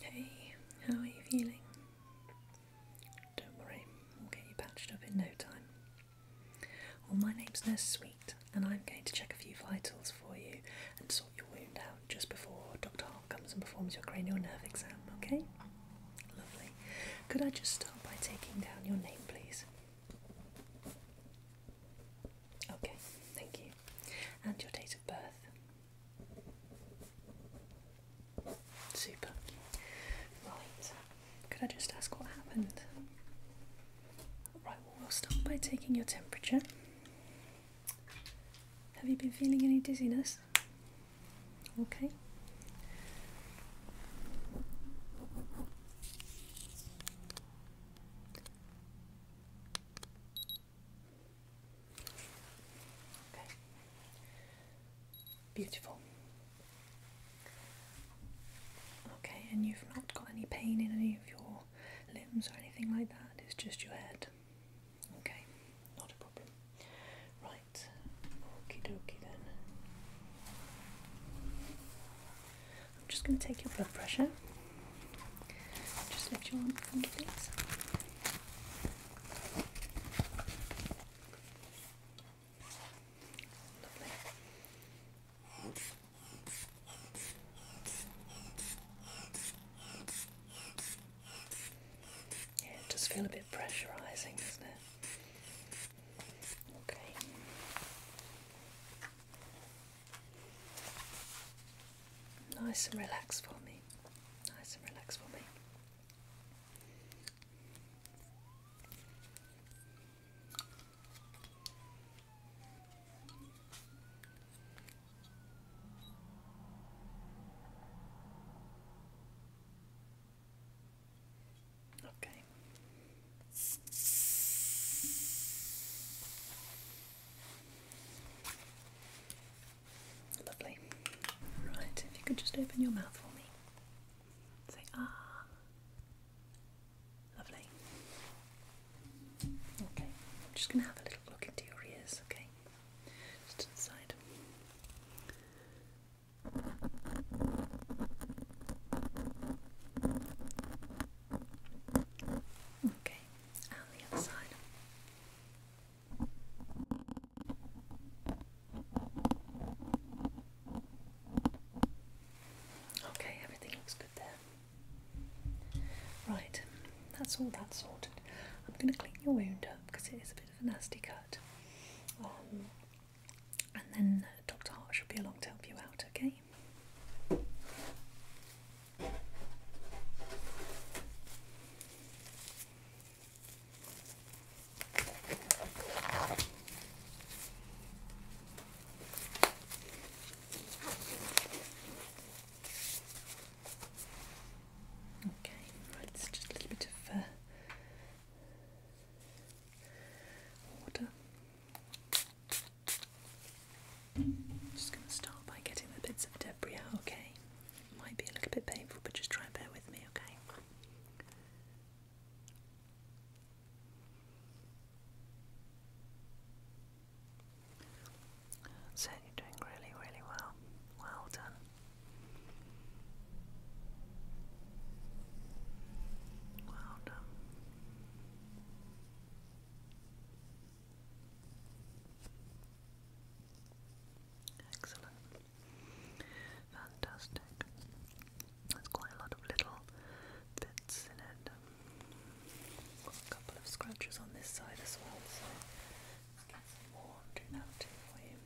Hey, how are you feeling? Don't worry, we'll get you patched up in no time. Well, my name's Nurse Sweet, and I'm going to check a few vitals for you and sort your wound out just before Dr. Hart comes and performs your cranial nerve exam, okay? Lovely. Could I just start by taking down your name, please? Okay, thank you. And your date of birth? Super. Right. Could I just ask what happened? Right, well, we'll start by taking your temperature. Have you been feeling any dizziness? Okay. Okay. Beautiful. Okay, and you've not got any pain in any of your limbs or anything like that, it's just your head. Okay, not a problem. Right, okie dokie then. I'm just going to take your blood pressure. Just lift your arm front, please. Lovely. Yeah, it does feel a bit pressurising, doesn't it? Okay. Nice and relaxed for me. Nice and relax for me. Okay. Lovely. Right, if you could just open your mouth for me. Say ah. Lovely. Okay, I'm just going to have a little look into your ears, okay? Just to the side. Okay, and the other side. Okay, everything looks good there. Right, that's all that's sorted. I'm going to clean your wound up because it is a bit of a nasty cut. Um, and then uh, Dr. Hart should be along to help you out, okay? Okay, right, it's just a little bit of uh, I'm just going to start by getting the bits of debris out, okay? It might be a little bit painful, but just try and bear with me, okay? That's you're doing really, really well. Well done. Well done. Excellent. Fantastic. There's quite a lot of little bits in it. a couple of scratches on this side as well, so let's get some more too for you.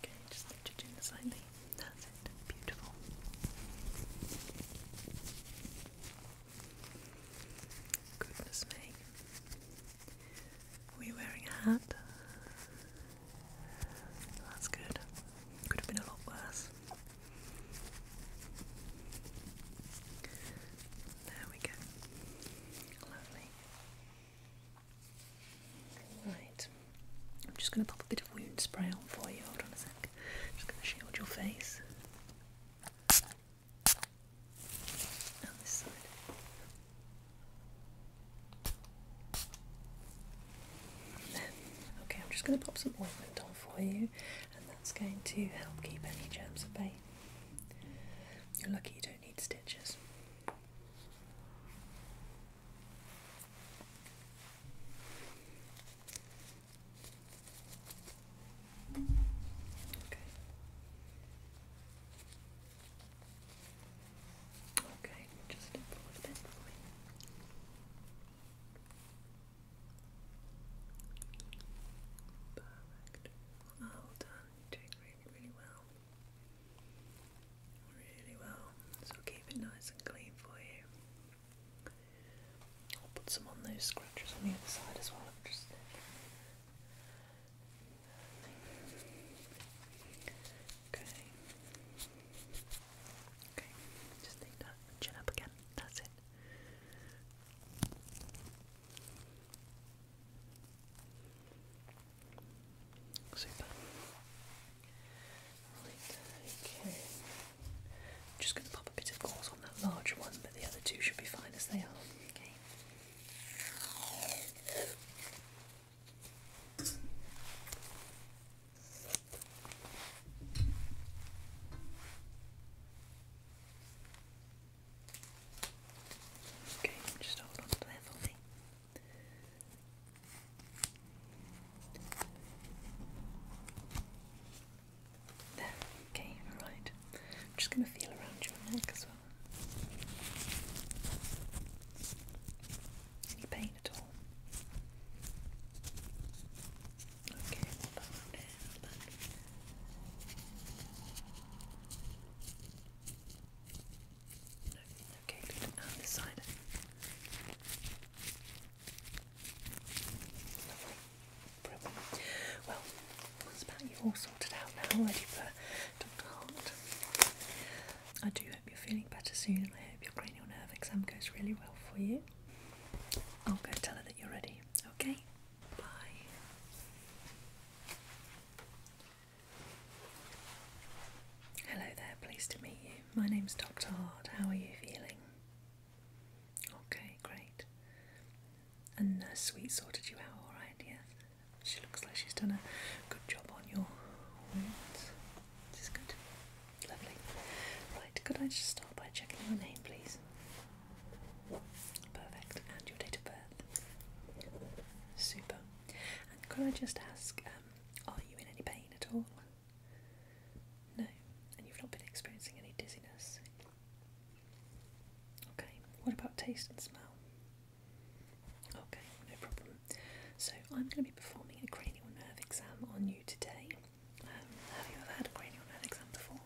Okay, just lift your chin slightly. That's it. Beautiful. Goodness me. Are we wearing a hat? That's good. Could have been a lot worse. There we go. Lovely. Right. I'm just going to pop a bit wound spray on for you. Just going to shield your face. Okay, I'm just going to pop some ointment on for you, and that's going to help keep any germs at bay. You're lucky you don't need stitches. Okay. Okay, Perfect. Well done. doing really, really well. Really well. So keep it nice and clean for you. I'll put some on those scratches on the other side as well. just okay. Okay, just take that chin up again. That's it. Super. okay. I'm just going to pop a bit of gauze on that large one, but the other two should be fine as they are. Okay. Okay, just hold on to there, okay, alright. I'm just going to feel around your neck as well. Any pain at all? Okay, okay, On this side. Well, that's about you all sorted out now, ready for Dr. Hart. I do hope you're feeling better soon and I hope your cranial nerve exam goes really well for you. I'll go tell her that you're ready. Okay? Bye. Hello there, pleased to meet you. My name's Dr. Hart. How are you feeling? Okay, great. And uh, Sweet sorted you out alright, Yeah? She looks like she's done a good job on your wounds. This is good. Lovely. Right, could I just start by checking your name, please? Perfect. And your date of birth? Super. And could I just ask, um, are you in any pain at all? No, and you've not been experiencing any dizziness. Okay, what about taste and smell? Okay, no problem. So, I'm going to be performing a cranial nerve exam on you today. Um, have you ever had a cranial nerve exam before?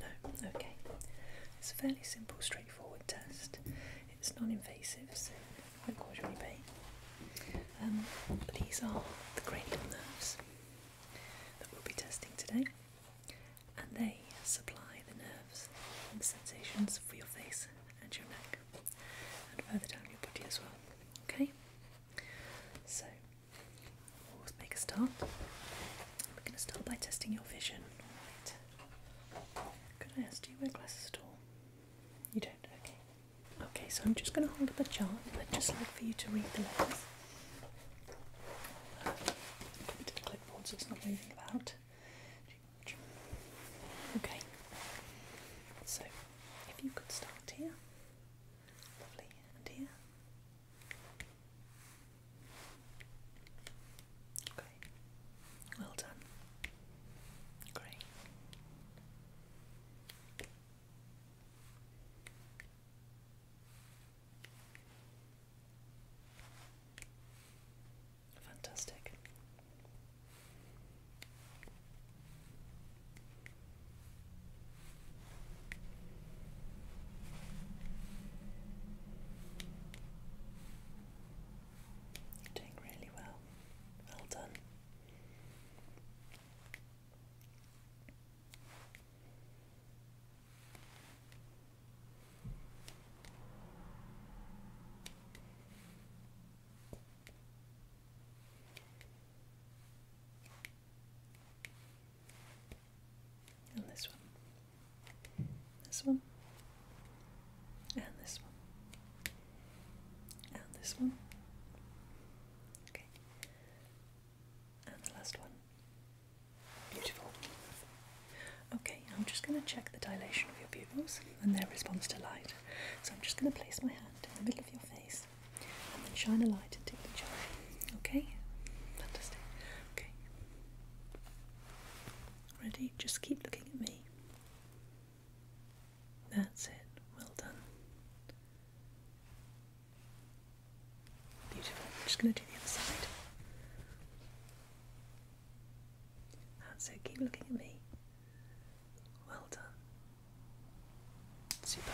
No? Okay. It's a fairly simple, straightforward test. It's non invasive, so it will cause you any pain. Um, these are the cranial nerves that we'll be testing today, and they supply the nerves and the sensations for your face and your neck, and further down your body as well. Okay, so we'll make a start. We're going to start by testing your vision. All right. Could I ask, do you wear glasses at all? You don't, okay. Okay, so I'm just going to hold up a chart and I'd just like for you to read the letters. Keep it to the clipboard so it's not moving about. Okay, so if you could start here, lovely, and here. Okay, well done. Great. Fantastic. doing really well. Well done. And this one, this one, and this one, and this one. Okay. And the last one. Beautiful. Okay, I'm just going to check the dilation of your pupils and their response to light. So I'm just going to place my hand in the middle of your face and then shine a light into each eye. Okay? Fantastic. Okay. Ready? Just keep looking at me. That's it. Well done. Beautiful. I'm just going to do the other side. So Keep looking at me. Well done. Super.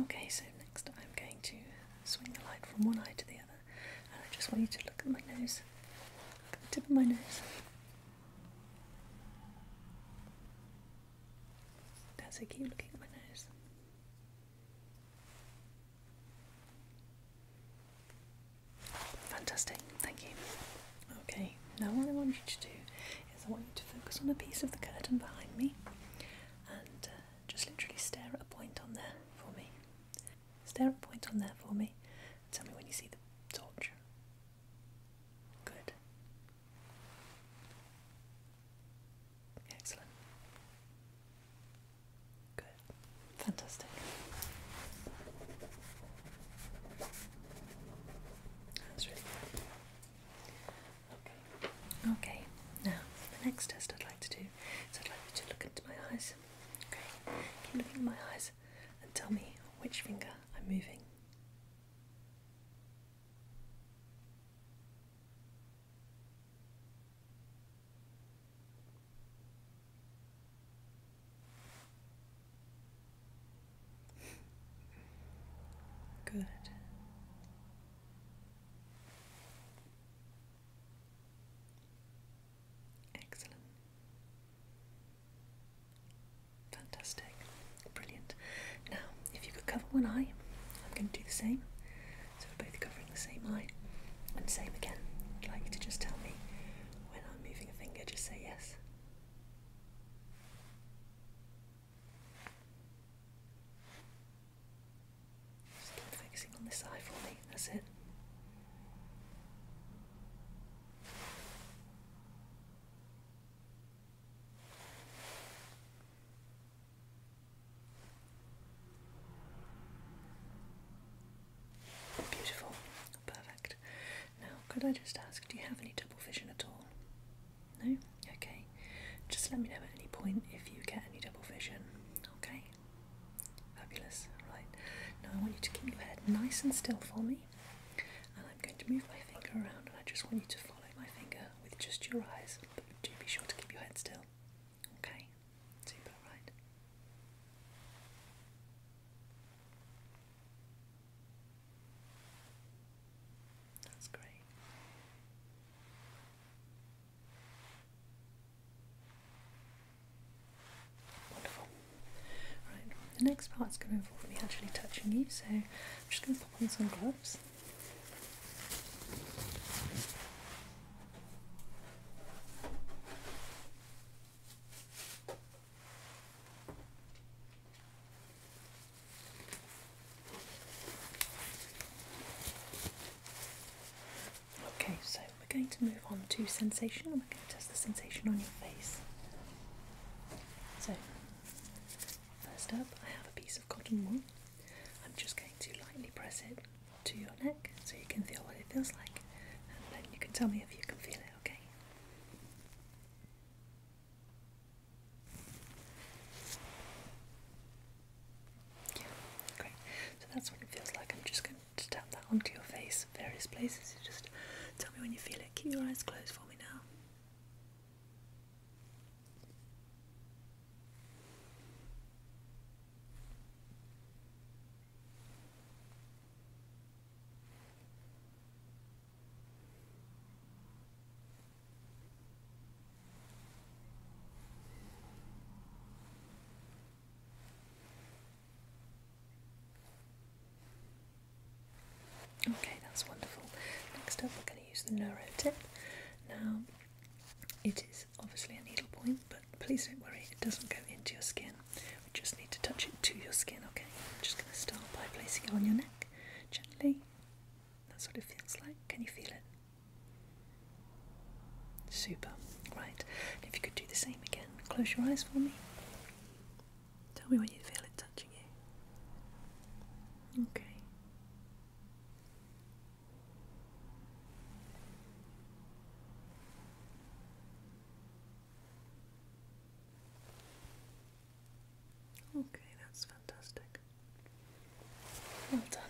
Okay, so next I'm going to swing the light from one eye to the other, and I just want you to look at my nose. Look at the tip of my nose. That's a keep looking at my nose. Fantastic, thank you. Okay, now what I want you to do is I want you to focus on a piece of the curtain behind me and uh, just literally stare at a point on there for me. Stare at a point on there for me tell me when you see the torch. Good. Excellent. Good. Fantastic. That's really good. Okay. Okay. Now, the next test I'd like to do is I'd like you to look into my eyes. Okay. Keep looking at my eyes and tell me which finger I'm moving. Good. Excellent. Fantastic. Brilliant. Now, if you could cover one eye, I'm going to do the same. So we're both covering the same eye. And same again. like to just tell me when I'm moving a finger, just say yes. Just keep focusing on this eye for me, that's it. Beautiful, perfect. Now, could I just ask, do you have any double vision at all? No? Okay. Just let me know at any point if you get any double vision. Okay? Fabulous. Right. Now, I want you to keep your head nice and still for me. And I'm going to move my finger around and I just want you to follow my finger with just your eyes do be sure to keep your head still. Okay? Super, right? That's great. Wonderful. Right, the next part's going to involve me actually touching you, so I'm just going to pop on some gloves. Okay, so we're going to move on to sensation and we're going to test the sensation on your face. So, first up, I have a piece of cotton wool. I'm just going to lightly press it to your neck so you can feel what it feels like, and then you can tell me if you can feel it, okay? Yeah, great. So that's what it feels like. I'm just going to tap that onto your face, various places. You just tell me when you feel it. Keep your eyes closed for me now. Okay, that's wonderful. Next up, we're going to use the neuro tip. Now, it is obviously a needle point, but please don't worry, it doesn't go into your skin. We just need to touch it to your skin, okay? I'm just going to start by placing it on your neck gently. That's what it feels like. Can you feel it? Super. Right. If you could do the same again, close your eyes for me. Tell me when you feel it touching you. Okay. Okay, that's fantastic. Well done.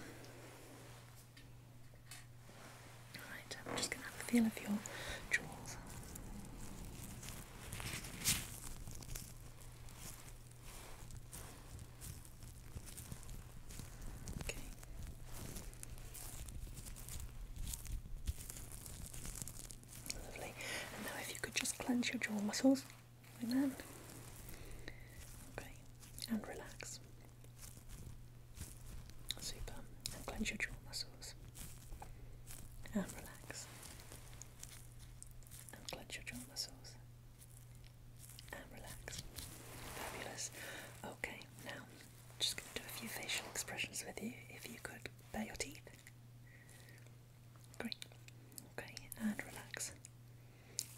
Alright, I'm just going to feel of your jaws. Lovely. And now if you could just clench your jaw muscles like that. Okay. And relax. Super. And clench your jaw muscles. And relax. And clench your jaw muscles and relax. Fabulous. Okay, now just going to do a few facial expressions with you. If you could bare your teeth. Great. Okay, and relax.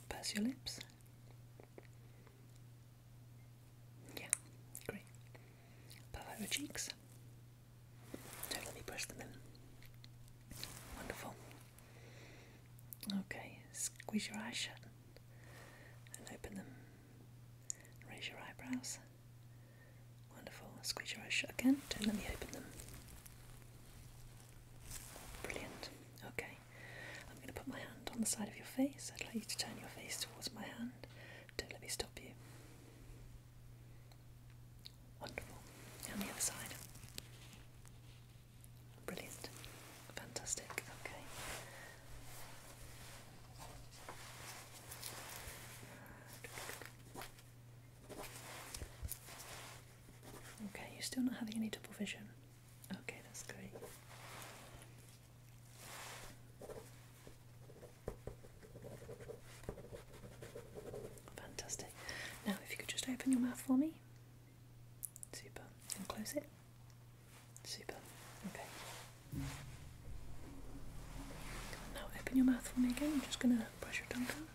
Purse your lips. Yeah, great. Puff your cheeks. Don't them in. Wonderful. Okay, squeeze your eyes shut and open them. Raise your eyebrows. Wonderful. Squeeze your eyes shut again. Don't let me open them. Brilliant. Okay, I'm going to put my hand on the side of your face. I'd like you to turn your face towards my hand. Don't let me stop you. Wonderful. On the other side. Brilliant. Fantastic. Okay. Okay, you're still not having any double vision. Okay, that's great. Fantastic. Now, if you could just open your mouth for me. Super. And close it. Super. Okay. Now open your mouth for me again. I'm just going to brush your tongue out.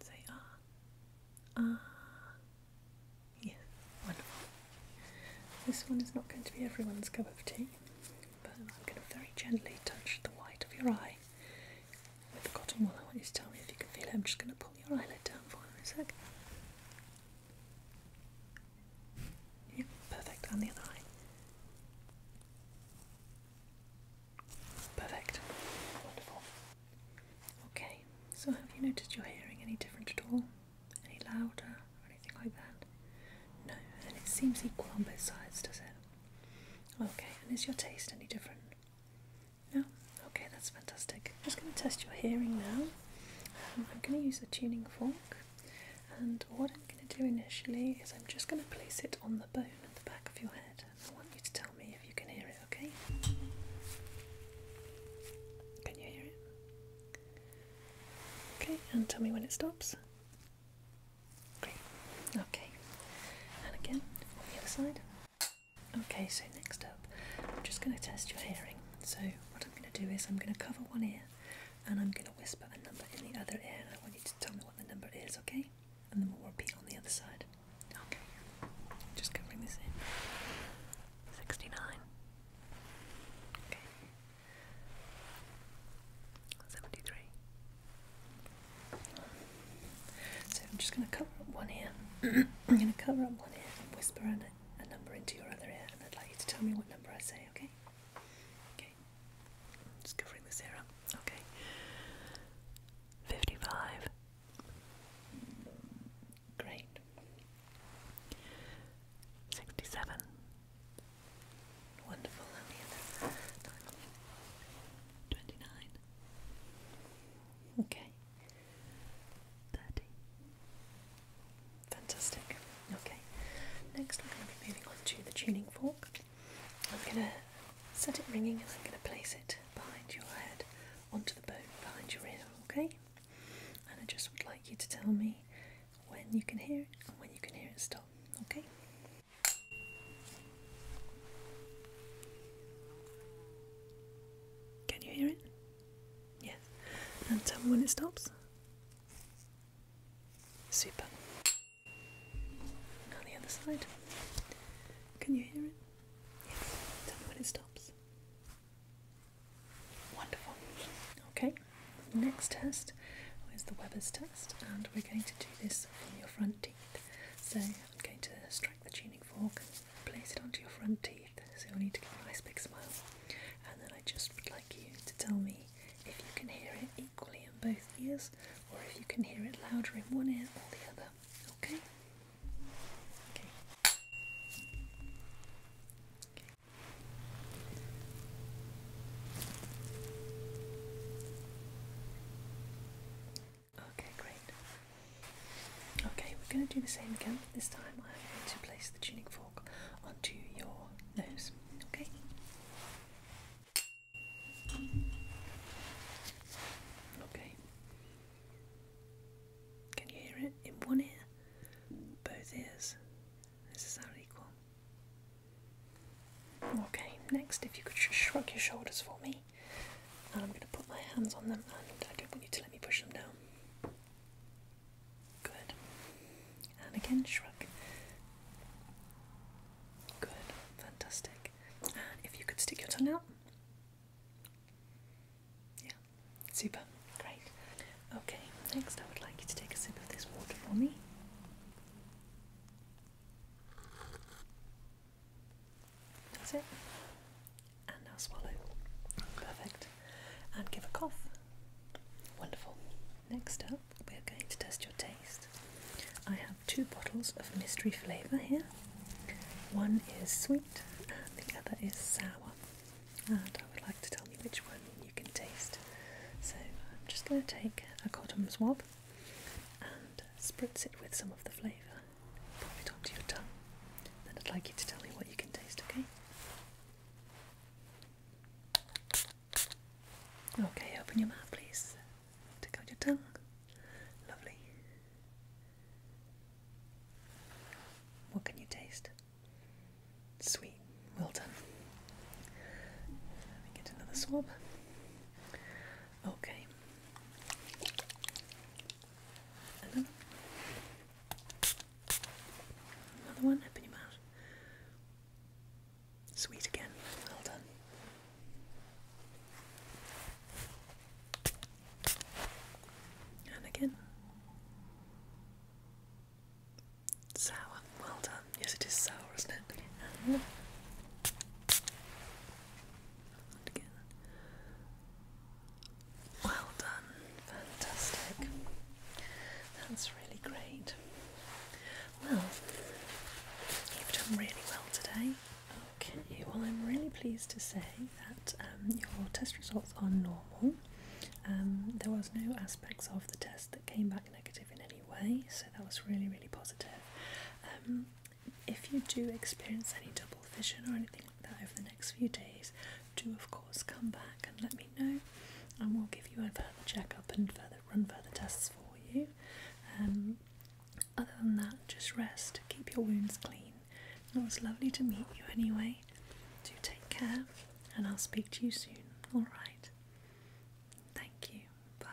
Say ah. Ah. Yeah. Wonderful. This one is not going to be everyone's cup of tea, but I'm going to very gently touch the white of your eye I've forgotten what I want you to tell me if you can feel it. I'm just going to pull your eyelid down for a sec. Yeah, perfect. And the other eye. Perfect. Wonderful. Okay, so have you noticed your hearing any different at all? Any louder or anything like that? No, and it seems equal on both sides, does it? Okay, and is your taste any different? No? Okay, that's fantastic. I'm just going to test your hearing now. Um, I'm going to use a tuning fork, and what I'm going to do initially is I'm just going to place it on the bone at the back of your head. I want you to tell me if you can hear it, okay? Can you hear it? Okay, and tell me when it stops. Great. Okay. And again, on the other side. Okay, so next up, I'm just going to test your hearing. So, what I'm going to do is I'm going to cover one ear and I'm going to whisper a number in the other ear, I want you to tell me what the number is, okay? And then we'll repeat on the other side. Okay, just covering this in 69. Okay, 73. So I'm just going to cover up one ear. I'm going to cover up one ear and whisper a, number into your other ear, and I'd like you to tell me what number I say, okay? Okay. I'm just covering this ear up. Okay. 55. Great. 67. Wonderful. 29. Okay. 30. Fantastic. Okay. Next, I'm going to be moving on to the tuning fork. I'm going to set it ringing and I'm going to place it behind your head onto the bone behind your ear, okay? And I just would like you to tell me when you can hear it and when you can hear it stop, okay? Can you hear it? Yes. And tell me when it stops. Super. Now the other side. Can you hear it? Yes. Tell me when it stops. Wonderful. Okay. Next test is the Weber's test, and we're going to do this from your front teeth. So I'm going to the tuning fork, place it onto your front teeth, so you'll need to give a nice big smile. And then I just would like you to tell me if you can hear it equally in both ears, or if you can hear it louder in one ear or the other. okay. Okay, great. Okay, we're going to do the same again. This time I'm going to place the tuning fork onto your nose. Okay? Okay. Can you hear it in one ear? Both ears. This is sound equal? Okay, next, if you could sh shrug your shoulders for me. And I'm going to put my hands on them, and I don't want you to let me push them down. Good. And again, shrug. Good. Fantastic. And if you could stick your tongue out. Yeah. Super. Great. Okay, next I would like you to take a sip of this water for me. That's it. And now swallow. Perfect. And give a cough. Wonderful. Next up, we're going to test your taste. I have two bottles of mystery flavour here. One is sweet and the other is sour. And I would like to tell you which one you can taste. So I'm just going to take a cotton swab and spritz it with some of the flavour. Put it onto your tongue. Then I'd like you to tell me what you can taste, okay? Okay, open your mouth, please. Take out your tongue. Lovely. What can you taste? Sweet. Well done. Let me get another swab. Okay. Another, one up your mouth. Sweet again. Well done. And again. Sour. Well done. Yes, it is sour, isn't it? And well done, fantastic. That's really great. Well, you've done really well today. Okay, well, I'm really pleased to say that um, your test results are normal. Um, there was no aspects of the test that came back negative in any way, so that was really, really positive. Um, if you do experience any double vision or anything like that over the next few days, do of course come back and let me know, and we'll give you a further checkup and further run further tests for you. Um, other than that, just rest, keep your wounds clean. It was lovely to meet you anyway. Do take care, and I'll speak to you soon. All right. Thank you. Bye.